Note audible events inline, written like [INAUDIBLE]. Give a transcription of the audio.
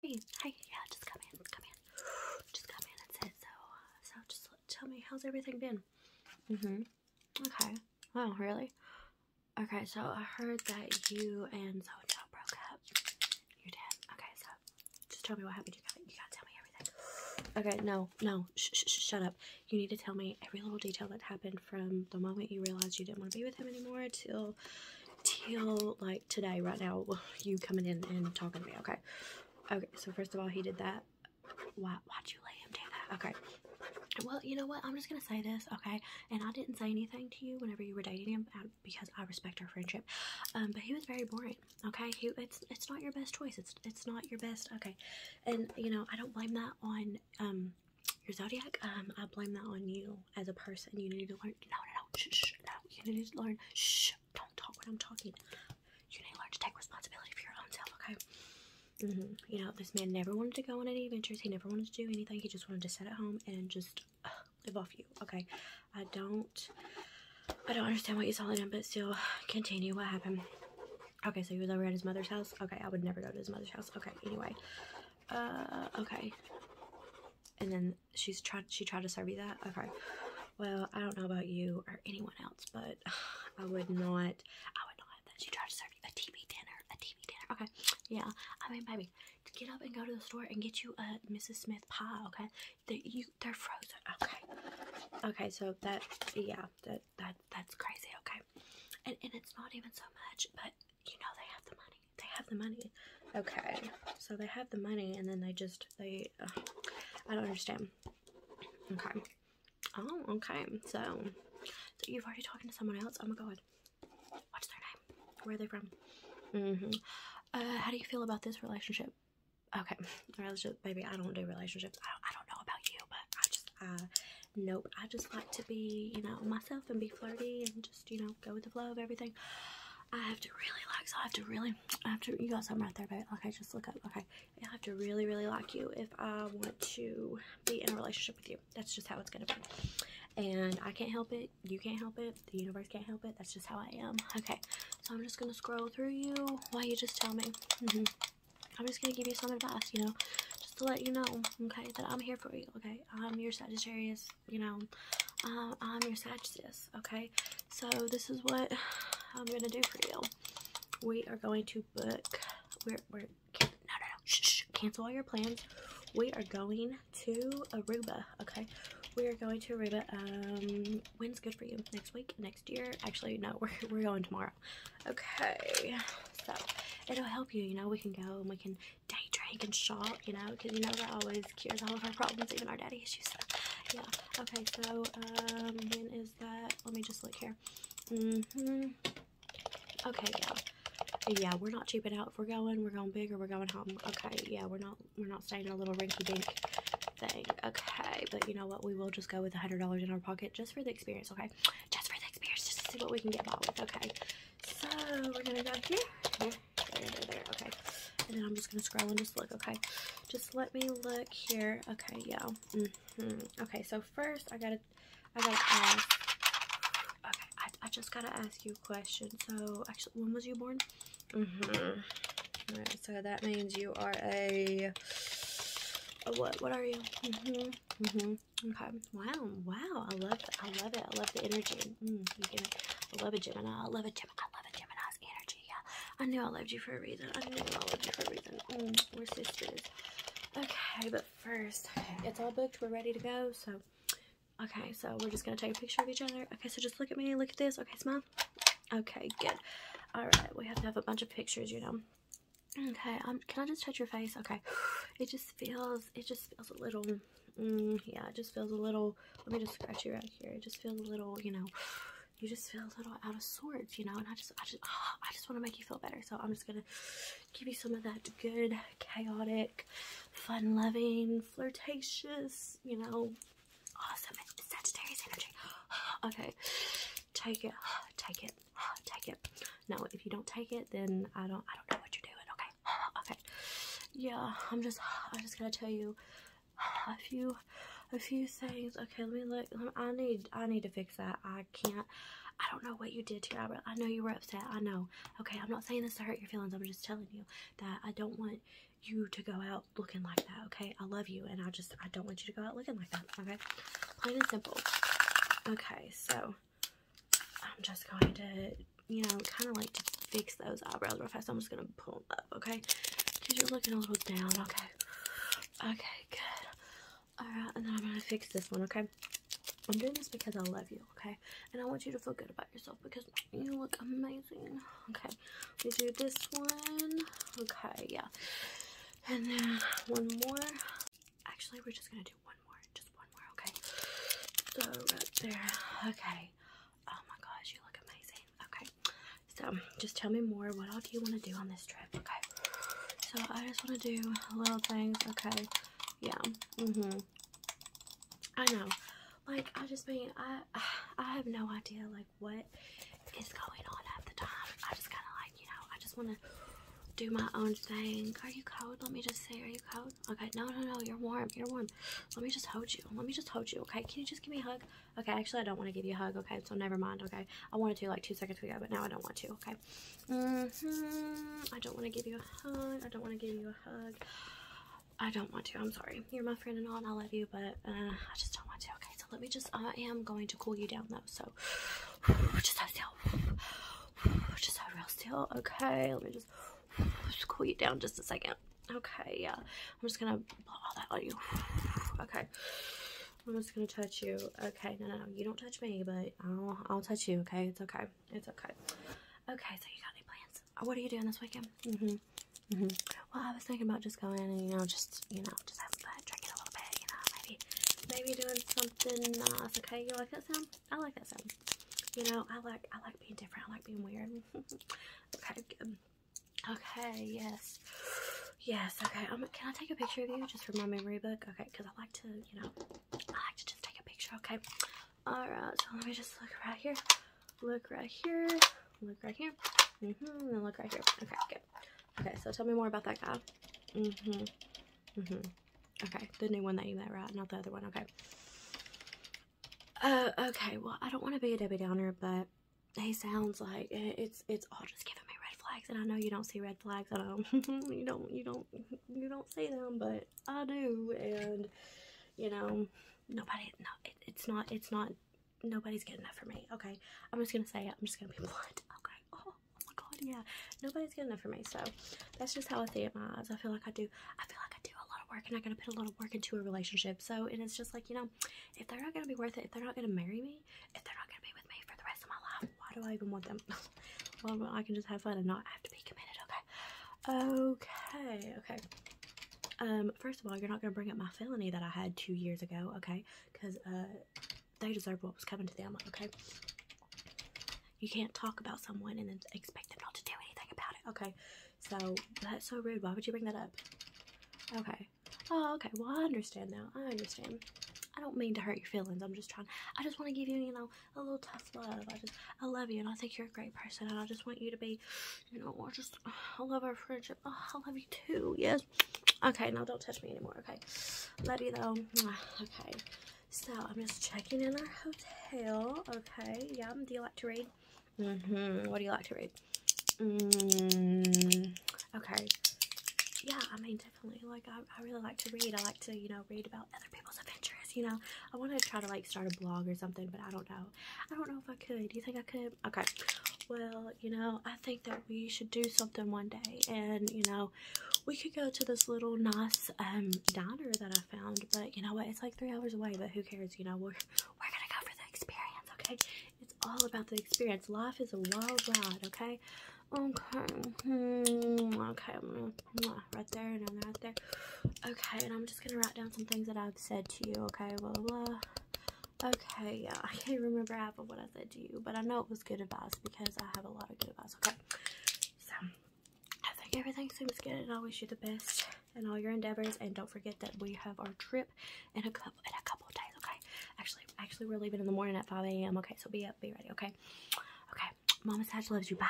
Hey, yeah, just come in, come in. Just come in, that's it. So, uh, so just tell me, how's everything been? Mm-hmm. Okay. Wow, oh, really? Okay, so I heard that you and so broke up. You did? Okay, so just tell me what happened. You gotta, you gotta tell me everything. Okay, no, no, shut up. You need to tell me every little detail that happened from the moment you realized you didn't want to be with him anymore till till like today right now you coming in and talking to me okay okay so first of all he did that why why'd you let him do that okay well you know what i'm just gonna say this okay and i didn't say anything to you whenever you were dating him um, because i respect our friendship um, but he was very boring okay he it's it's not your best choice it's it's not your best okay and you know i don't blame that on um your zodiac um i blame that on you as a person. You need to learn. No, no, no. no. You need to learn. Shh. Don't talk when I'm talking. You need to learn to take responsibility for your own self. Okay. Mm-hmm. You know, this man never wanted to go on any adventures. He never wanted to do anything. He just wanted to sit at home and just live off you. Okay. I don't. I don't understand what you are in him, but still, continue. What happened? Okay, so he was over at his mother's house. Okay, I would never go to his mother's house. Okay, anyway. Uh, okay and then she's tried she tried to serve you that okay well i don't know about you or anyone else but [SIGHS] i would not i would not have that she tried to serve you a tv dinner a tv dinner okay yeah i mean baby get up and go to the store and get you a mrs smith pie okay they, you, they're frozen okay okay so that yeah that that that's crazy okay and, and it's not even so much but you know they have the money. They have the money. Okay, so they have the money and then they just, they, uh, I don't understand. Okay. Oh, okay. So, so you've already talking to someone else? Oh my god. What's their name? Where are they from? Mm-hmm. Uh, how do you feel about this relationship? Okay, [LAUGHS] relationship, baby, I don't do relationships. I don't, I don't know about you, but I just, I uh, Nope, I just like to be, you know, myself and be flirty and just, you know, go with the flow of everything. I have to really like, so I have to really, I have to, you got something right there, babe. Okay, just look up. Okay, I have to really, really like you if I want to be in a relationship with you. That's just how it's gonna be. And I can't help it. You can't help it. The universe can't help it. That's just how I am. Okay, so I'm just gonna scroll through you while you just tell me. Mm-hmm. I'm just gonna give you some advice, you know, just to let you know, okay, that I'm here for you okay? I'm your Sagittarius, you know, um, I'm your Sagittarius, okay? So this is what I'm going to do for you. We are going to book, no, no, no, cancel all your plans. We are going to Aruba, okay? We are going to Aruba, um, when's good for you? Next week? Next year? Actually, no, [LAUGHS] we're, we're going tomorrow. Okay, so it'll help you. You know, we can go and we can day drink and shop. You know, because you know that always cures all of our problems, even our daddy issues. yeah. Okay, so um, when is that? Let me just look here. Mhm. okay, yeah yeah, we're not cheaping out. If we're going, we're going big or we're going home. Okay, yeah, we're not we're not staying in a little rinky dink thing. Okay, but you know what? We will just go with a hundred dollars in our pocket just for the experience. Okay, just for the experience, just to see what we can get by with, okay? So we're gonna go here, there, there, there, okay. And then I'm just gonna scroll and just look, okay? Just let me look here. Okay, yeah. Mm-hmm. Okay, so first I gotta, I gotta Okay, I, just gotta ask you a question. So actually, when was you born? Mm-hmm. All right, so that means you are a, a what? What are you? Mm-hmm. Mm-hmm. Okay. Wow. Wow. I love it. I love it. I love the energy. Mm, I love a Gemini. I love a Gemini. I love a Gemini's energy. Yeah. I knew I loved you for a reason. I know I loved you for a reason. Mm, we're sisters. Okay. But first, it's all booked. We're ready to go. So, okay. So we're just gonna take a picture of each other. Okay. So just look at me. Look at this. Okay. Smile. Okay. Good. All right. We have to have a bunch of pictures. You know. Okay, um, can I just touch your face? Okay, [SIGHS] it just feels, it just feels a little, mm, yeah, it just feels a little, let me just scratch you right here. It just feels a little, you know, [SIGHS] you just feel a little out of sorts, you know, and I just, I just, [SIGHS] I just want to make you feel better. So I'm just going to give you some of that good, chaotic, fun-loving, flirtatious, you know, awesome Sagittarius energy. okay, take it, take it, Ah, take it. No, if you don't take it, then I don't I don't know what you're doing. Okay, [SIGHS] okay. Yeah, I'm just I'm [SIGHS] just gonna tell you a few a few things. Okay, let me look. I need I need to fix that. I can't. I don't know what you did to your I know you were upset. I know. Okay, I'm not saying this to hurt your feelings. I'm just telling you that I don't want you to go out looking like that. Okay, I love you, and I just I don't want you to go out looking like that. Okay plain and simple. Okay, so I'm just going to, you know, kind of like to fix those eyebrows real fast. I'm just going to pull them up, okay? Because you're looking a little down, okay? Okay, good. Alright, and then I'm going to fix this one, okay? I'm doing this because I love you, okay? And I want you to feel good about yourself because you look amazing. Okay, we do this one. Okay, yeah. And then one more. Actually, we're just gonna do one more. Just one more, okay? So right there. Okay. Oh my gosh, you look amazing. Okay. So just tell me more. What else do you want to do on this trip? Okay. So I just want to do little things. Okay. Yeah. Mm-hmm. I know. Like I just mean I [SIGHS] I have no idea like what is going on at the time. I just kind of like, you know, I just want to do my own thing. Are you cold? Let me just say, are you cold? Okay, no, no, no, you're warm. You're warm. Let me just hold you. Let me just hold you, okay? Can you just give me a hug? Okay, actually, I don't want to give you a hug, okay? So never mind, okay? I wanted to like two seconds ago, but now I don't want to, okay? Mm-hmm, I don't want to give you a hug. I don't want to give you a hug. I don't want to. I'm sorry. You're my friend and all, and I love you, but uh, I just don't want to, okay? so let me just I am going to cool you down though, so [SIGHS] just have still [SIGHS] just have real still. Okay, let me just, [SIGHS] cool you down just a second. Okay, yeah. I'm just gonna blow all that on you. Okay. I'm just gonna touch you. Okay, no, no, you don't touch me, but I'll, I'll touch you. Okay, it's okay, it's okay. Okay, so you got any plans? Uh, what are you doing this weekend? Mm-hmm. Mm-hmm. Well, I was thinking about just going and you know, just you know, just having fun, drinking a little bit, you know, maybe, maybe doing something. Uh, okay. You like that sound? I like that sound. You know, I like, I like being different. I like being weird. [LAUGHS] okay. Good. Okay. Yes. Yes. Okay. Um, can I take a picture of you just for my memory book? Okay, because I like to, you know, I like to just take a picture. Okay. All right. So let me just look around here look right here, look right here, mm look right here. Okay, good. Okay, so tell me more about that guy. hmm hmm Okay, the new one that you met, right? Not the other one. Okay. Uh, okay, well, I don't want to be a Debbie Downer, but he sounds like it's it's all just giving me red flags, and I know you don't see red flags. I do [LAUGHS] you don't, you don't, you don't see them, but I do, and you know, nobody, no, it's not, it's not nobody's good enough for me. Okay, I'm just gonna say it. I'm just gonna be [LAUGHS] blunt. Okay. Oh, oh, my god, yeah. Nobody's good enough for me. So that's just how I see it my eyes. I feel like I do. I feel like I do a lot of work, and I gotta put a lot of work into a relationship. So and it's just like you know, if they're not gonna be worth it, if they're not gonna marry me, if they're not gonna be with me for the rest of my life, why do I even want them? [LAUGHS] well, I can just have fun and not have to be committed. Okay. Okay. Okay. Um, first of all, you're not going to bring up my felony that I had two years ago, okay? Because uh, they deserve what was coming to them, okay? You can't talk about someone and then expect them not to do anything about it, okay? So that's so rude. Why would you bring that up? Okay. Oh, okay. Well, I understand now. I understand. I don't mean to hurt your feelings. I'm just trying. I just want to give you, you know, a little tough love. I just, I love you and I think you're a great person and I just want you to be you know, we just, I love our friendship. Oh, I love you too. Yes. Okay, now don't touch me anymore. Okay. Love you though. Okay. So I'm just checking in our hotel. Okay. Yeah. Do you like to read? hmm What do you like to read? Mm, okay. Yeah, I mean, definitely. Like, I, I really like to read. I like to, you know, read about other people's adventures, you know. I want to try to, like, start a blog or something, but I don't know. I don't know if I could. Do you think I could? Okay. Well, you know, I think that we should do something one day, and you know, we could go to this little nice um diner that I found. But you know what? It's like three hours away. But who cares? You know, we're we're gonna go for the experience. Okay. It's all about the experience. Life is a wild ride. Okay. Okay. Mm-hmm. Okay right there and then right there. Okay, and I'm just gonna write down some things that I've said to you, okay? Blah, blah, Okay, yeah, [LAUGHS] I can't remember half of what I said to you, but I know it was good advice because I have a lot of good advice, okay? So, I think everything seems good and I wish you the best in all your endeavors. And don't forget that we have our trip in a couple, in a couple days, okay? Actually, actually, we're leaving in the morning at 5 a.m., okay? So be up, be ready, okay? Okay, Mama Satch loves you. Bye.